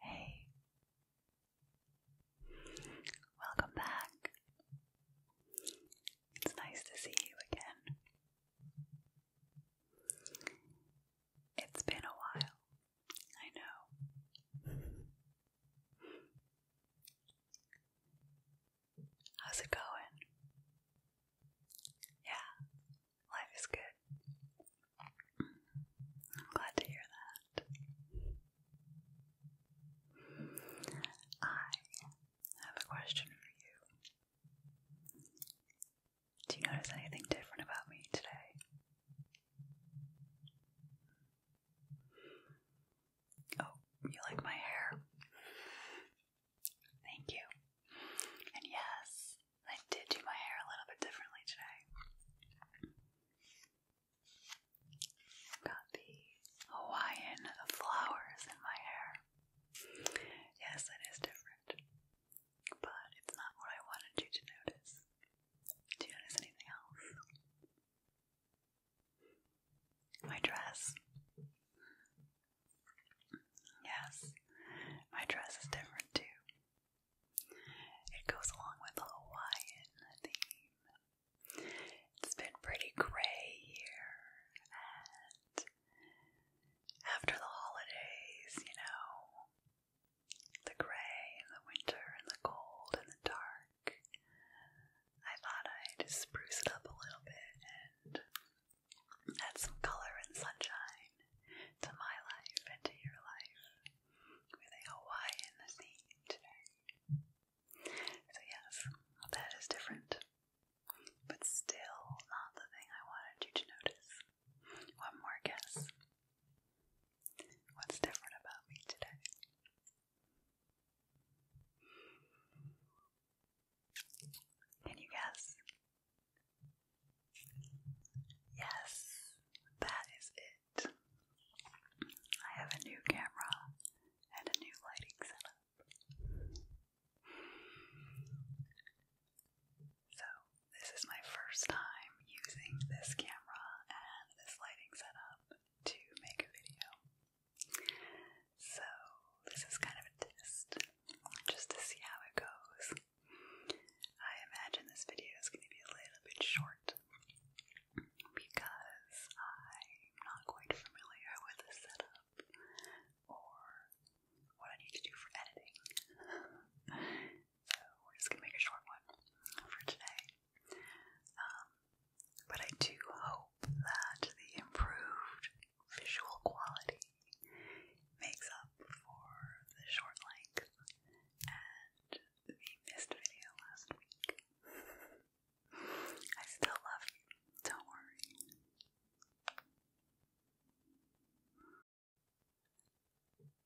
Hey, welcome back. It's nice to see you again. It's been a while, I know. How's it going? Yeah, life is good. I'm glad to hear that. I have a question for you. Do you notice anything different about me today? Oh, you like my hair? Thank you. And yes, I did do my hair a little bit differently today. got the Hawaiian flowers in my hair. Yes, it is different, but it's not what I wanted you to notice. Do you notice anything else? My dress. Yes, my dress is different too. It goes along with the Hawaiian theme. It's been pretty gray here, and after the holidays, you know, the gray and the winter and the cold and the dark. I thought I'd spruce it up a little bit and add some color and sunshine to my life and to your life with a Hawaiian theme today. So, yes, that is different, but still not the thing I wanted you to notice. One more guess. What's different about me today? Can you guess? Yes, that is it. I have a new camera and a new lighting setup. So, this is my first time using this camera and this lighting setup to make a video. So, this is kind of a test just to see how it goes. I imagine this video is going to be a little bit short because I'm not quite familiar with the setup or what I need to do for editing. so, we're just going to make a short one for today. Um, but I do hope that the improved visual quality makes up for the short length and the missed video last week. I still love you, don't worry.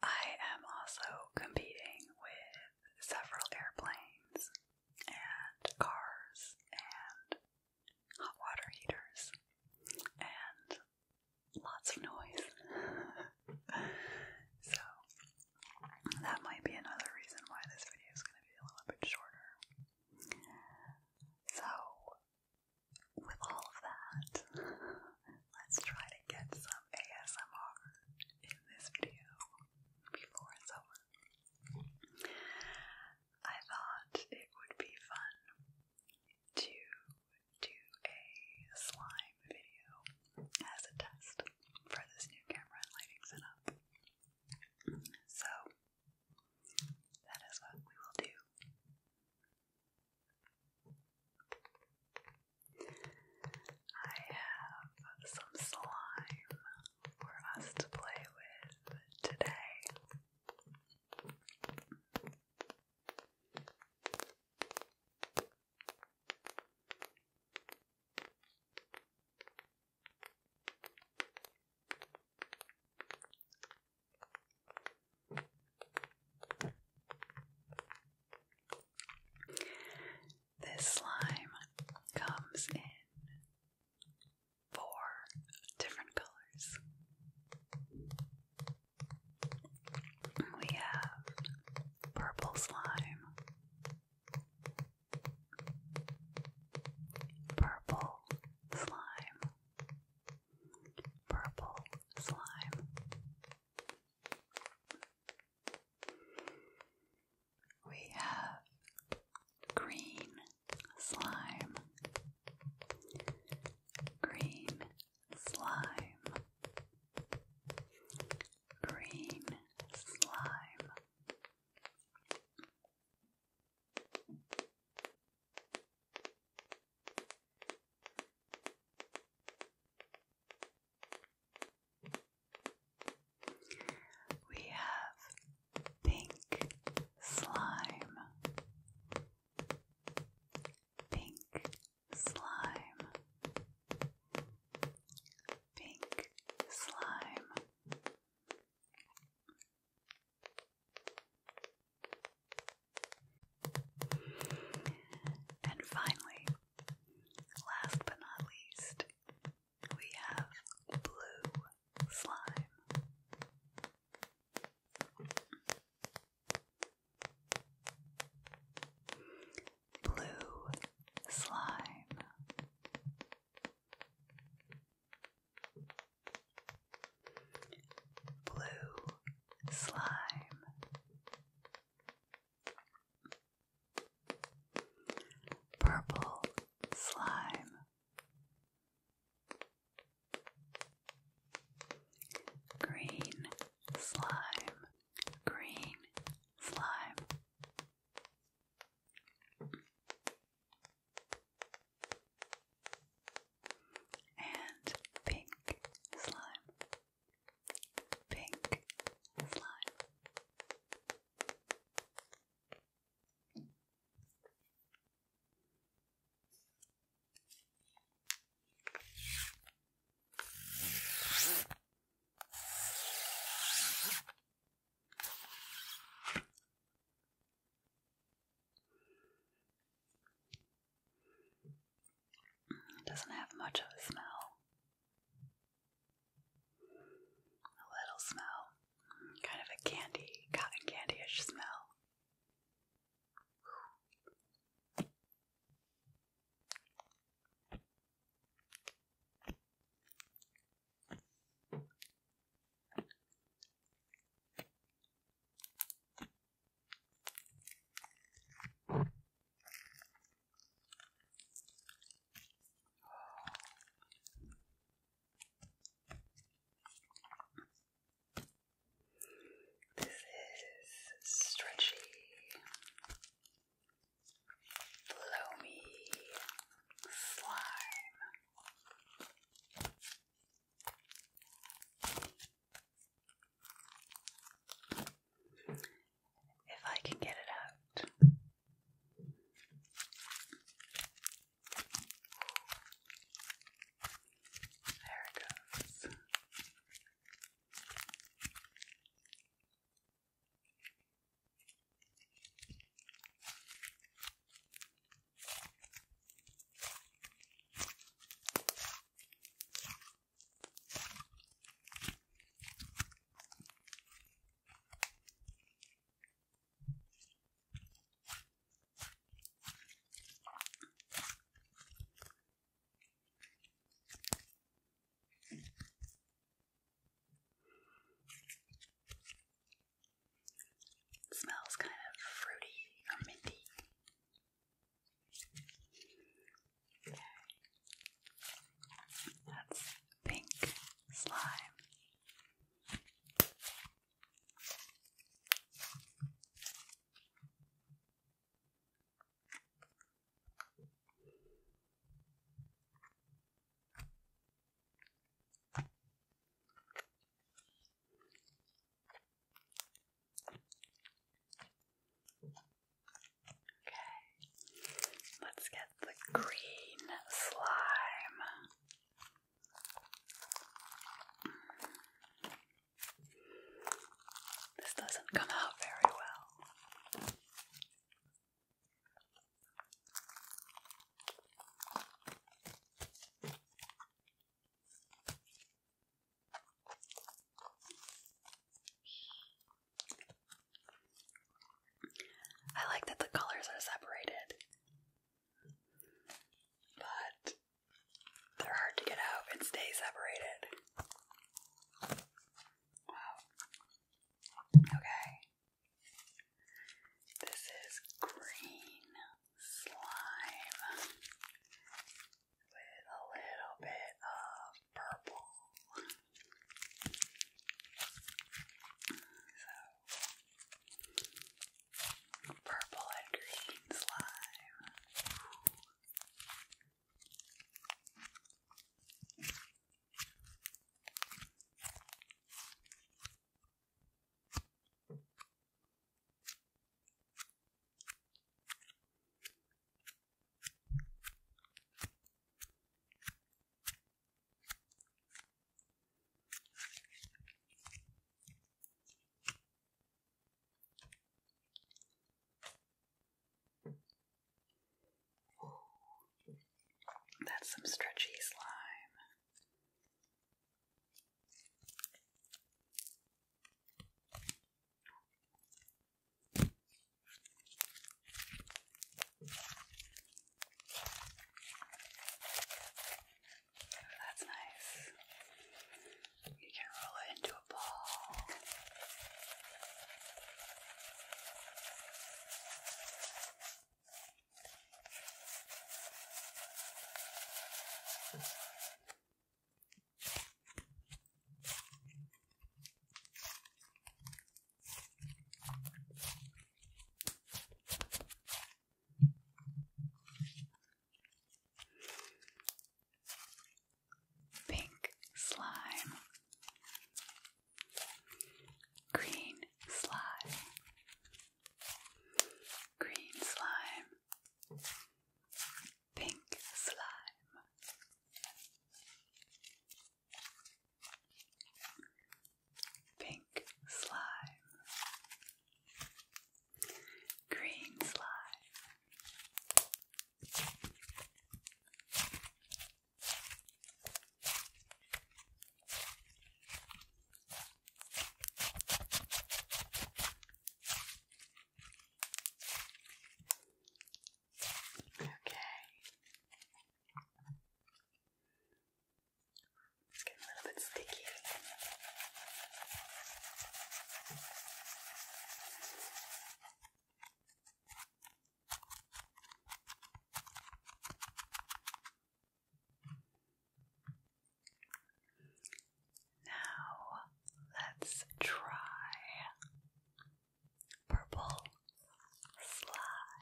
I am also competing with several airplanes and cars and hot water heaters and lots of noise. so that might be another reason why this video is going to be a little bit shorter. So with all of that, let's try to get some ASMR in this video before it's over. I thought it would be fun to do a slime video as a test for this new camera and lighting setup. So, that is what we will do. I have some slime for us to play with today. This slime comes in four different colors. We have purple slime, purple slime, purple slime, we have green slime, green slime, green slime. We have pink slime, pink slime, pink slime. And finally, last but not least, we have blue slime. Blue slime. Blue slime. Purple slime, green slime, green slime, and pink slime, pink slime. It doesn't have much of a smell. A little smell. Kind of a candy, cotton candy-ish smell. This is stretchy, foamy slime if I can get it out. There it goes. It smells kind of fruity or minty. That's pink slime. Okay, let's get the green slime. This doesn't come out very well. I like that the colors are separated, but they're hard to get out and stay separated. Wow. Okay. This is green slime with a little bit of purple. purple and green slime. That's some stretchy slime. That's nice. You can roll it into a ball. Pink slime, green slime, green slime, pink slime. Pink slime, green slime, Okay. It's getting a little bit sticky. Now let's try purple slime.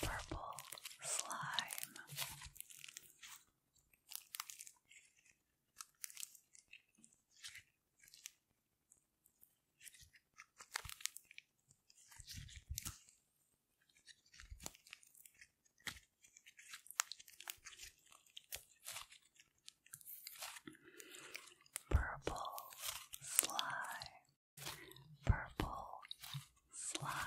Purple slime. Purple slime, purple slime.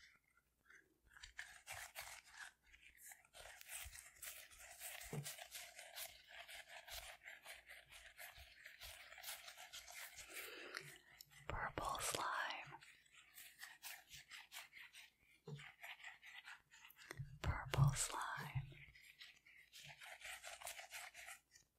Purple slime. Purple slime. And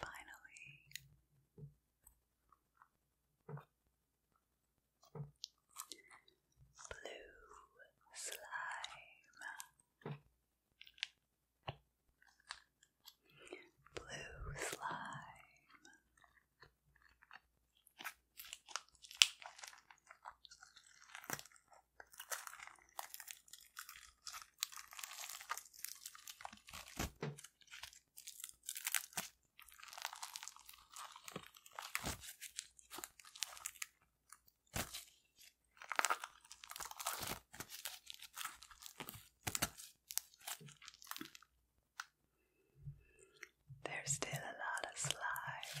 finally, blue slime. Blue slime. There's still a lot of slime.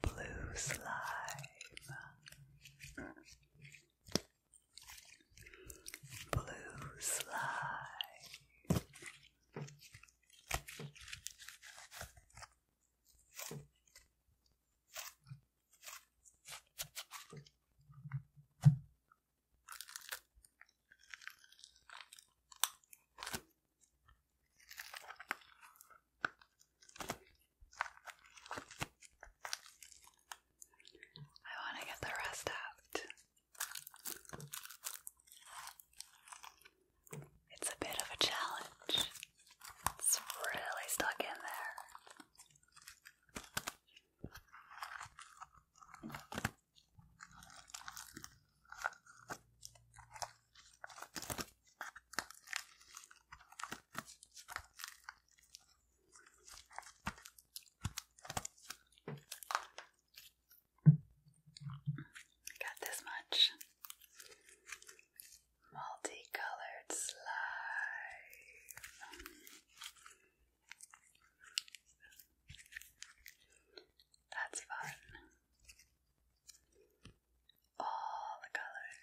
Blue slime. Blue slide. I want to get the rest out. It's a bit of a challenge. It's really stuck in there. Got this much multicolored slime. That's fun. All the colors.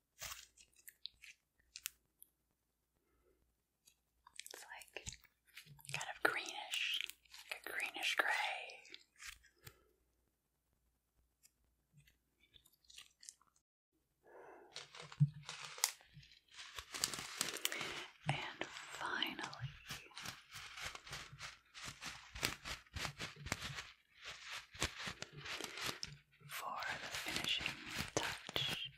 It's like kind of greenish, a greenish gray. And finally, for the finishing touch,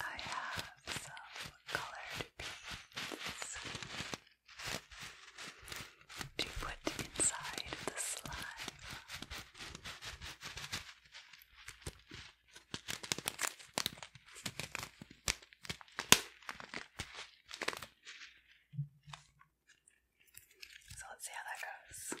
I have some colored beads to put inside the slime. So let's see how that goes.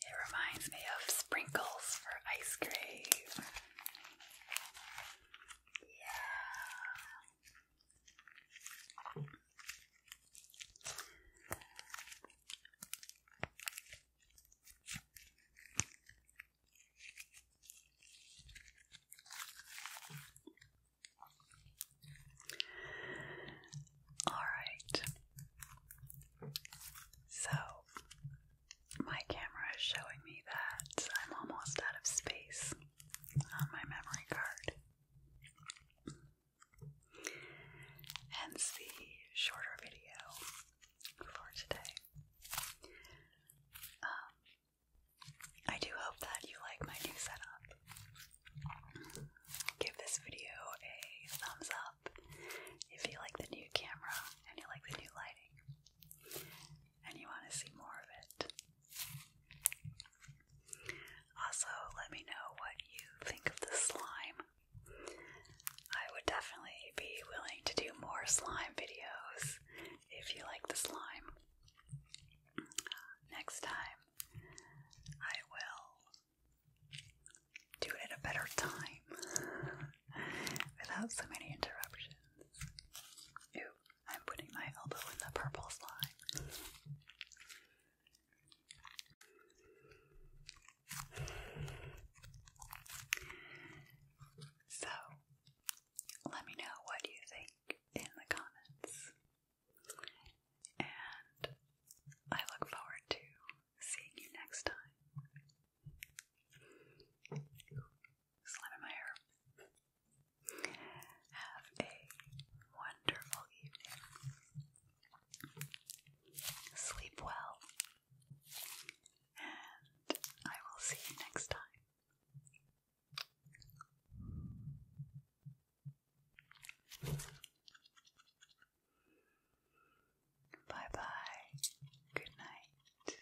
It reminds me of sprinkles for ice cream. Yeah. All right. So, my camera is showing me that I'm almost out of space on my memory card. Hence the shorter video for today. Um, I do hope that you like my new setup. Give this video a thumbs up if you like the new camera and you like the new lighting and you want to see more of it. Also, let me know what you think of the slime. I would definitely be willing to do more slime videos if you like the slime. Next time, I will do it at a better time without so many interruptions. Ooh, I'm putting my elbow in the purple slime. So, let me know what you think in the comments. And I look forward to seeing you next time. Slamming my hair. Have a wonderful evening. Sleep well. And I will see you next time. Bye bye. Good night.